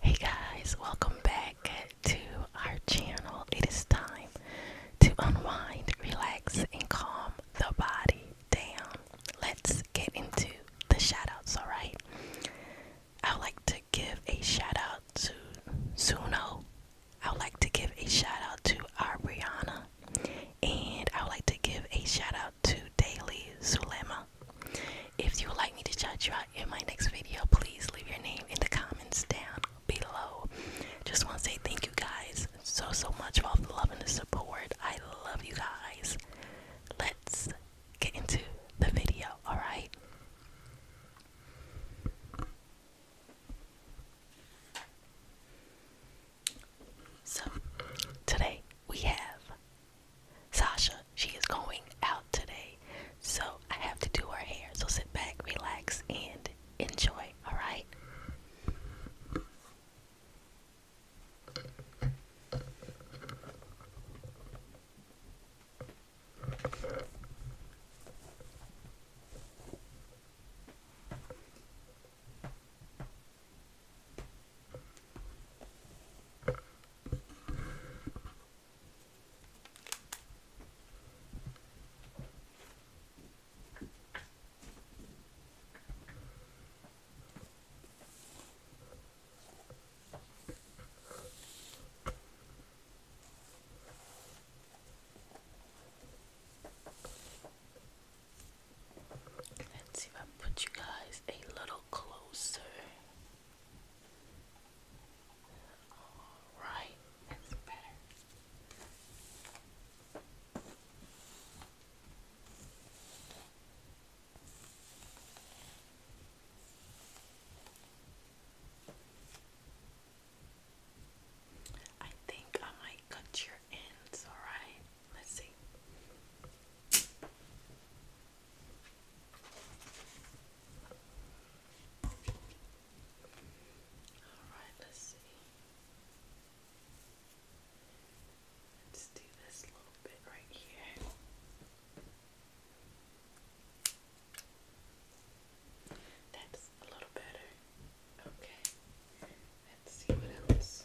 Hey guys, welcome back to our channel. It is time to unwind, relax, and calm the body down. Let's get into the shout outs, alright? I would like to give a shout out to Suno. I would like to give a shout out to our Brianna. And I would like to give a shout out to Daily Sulema. If you would like me to chat you out in my next video, please leave your name in the comments down below. Just want to say thank you guys so so much for all the love and the support. I love you guys. Let's get into the video, alright? So, today we have Sasha, she is going out today, so I have to do her hair. So sit back, relax, and enjoy, alright? Let's see if I put you guys a little closer. Alright, that's better. I think I might cut your ends, alright? Let's see. Alright, let's see. Let's do this little bit right here. That's a little better. Okay. Let's see what else.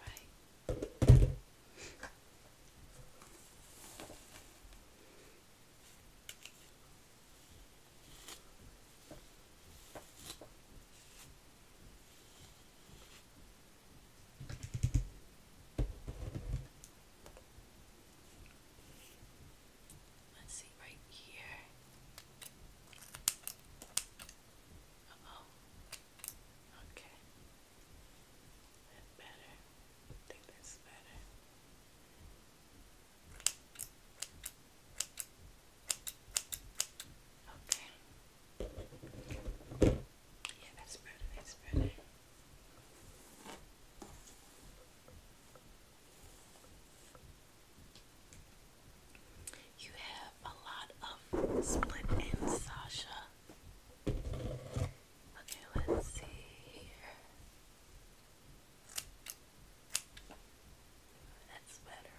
Alright. Let's see right here. Uh oh. Okay. better. I think that's better. Okay. Yeah, that's better, that's better. You have a lot of split ends, Sasha. Okay, let's see here. That's better.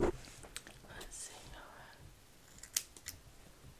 Let's see, Noah.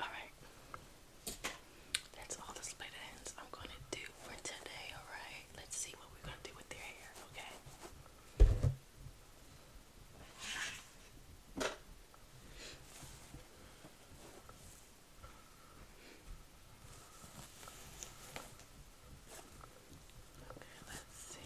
Alright. That's all the split ends I'm gonna do for today, alright? Let's see what we're gonna do with their hair, okay? let's see.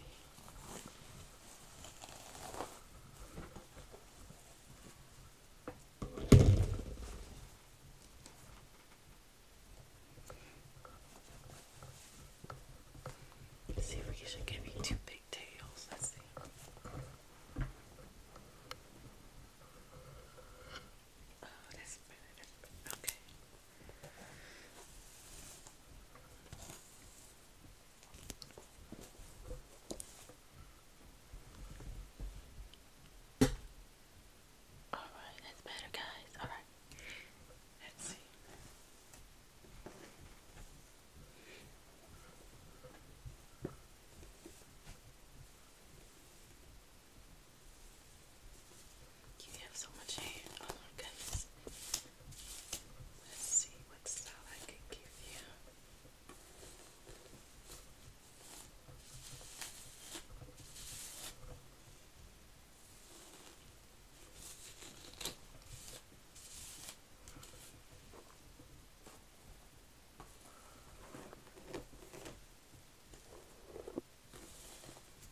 see if we should give you two big tails. Let's see. Oh, that's better. Okay. All right, that's better, guys. All right, let's see. You have so much hair. Oh my goodness. Let's see what style I can give you.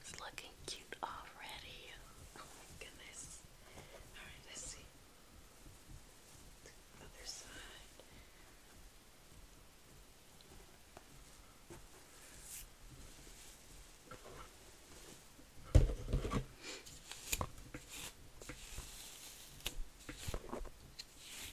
It's looking cute already. Oh my goodness. Alright, let's see. Other side.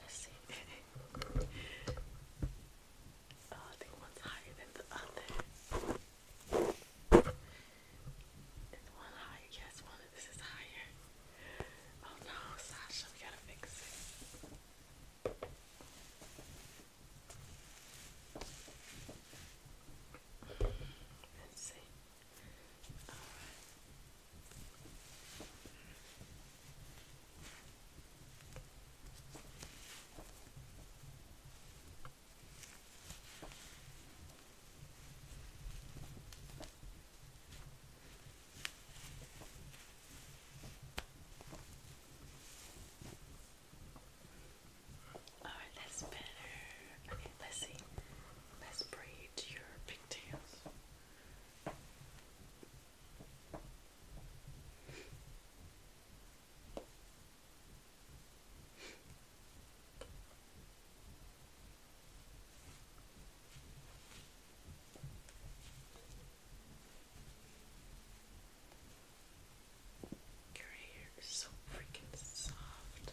Let's see. oh, I think one's higher than the other. It's one higher. Yes, one of this is higher. Oh no, Sasha, we gotta fix it. Let's see. Alright. Alright, that's better. Okay, let's see. Let's braid your pigtails. Your hair is so freaking soft.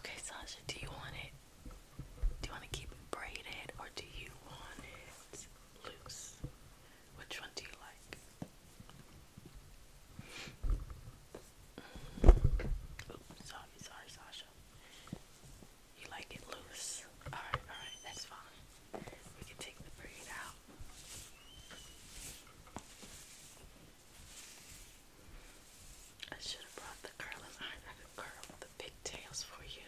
Okay, Sasha, do you want it? Do you want to keep it braided or do you want it loose? Which one do you like? sorry, sorry, Sasha. You like it loose? Alright, alright, that's fine. We can take the braid out. I should have brought the curling iron. I could curl the pigtails for you.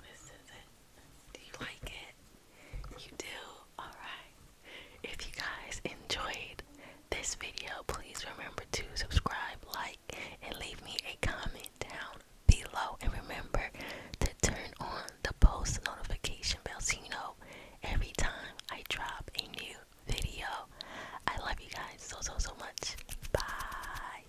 This is it. Do you like it? You do? Alright. If you guys enjoyed this video, please remember to subscribe, like, and leave me a comment down below. And remember to turn on the post notification bell so you know every time I drop a new video. I love you guys so, so, so much. Bye.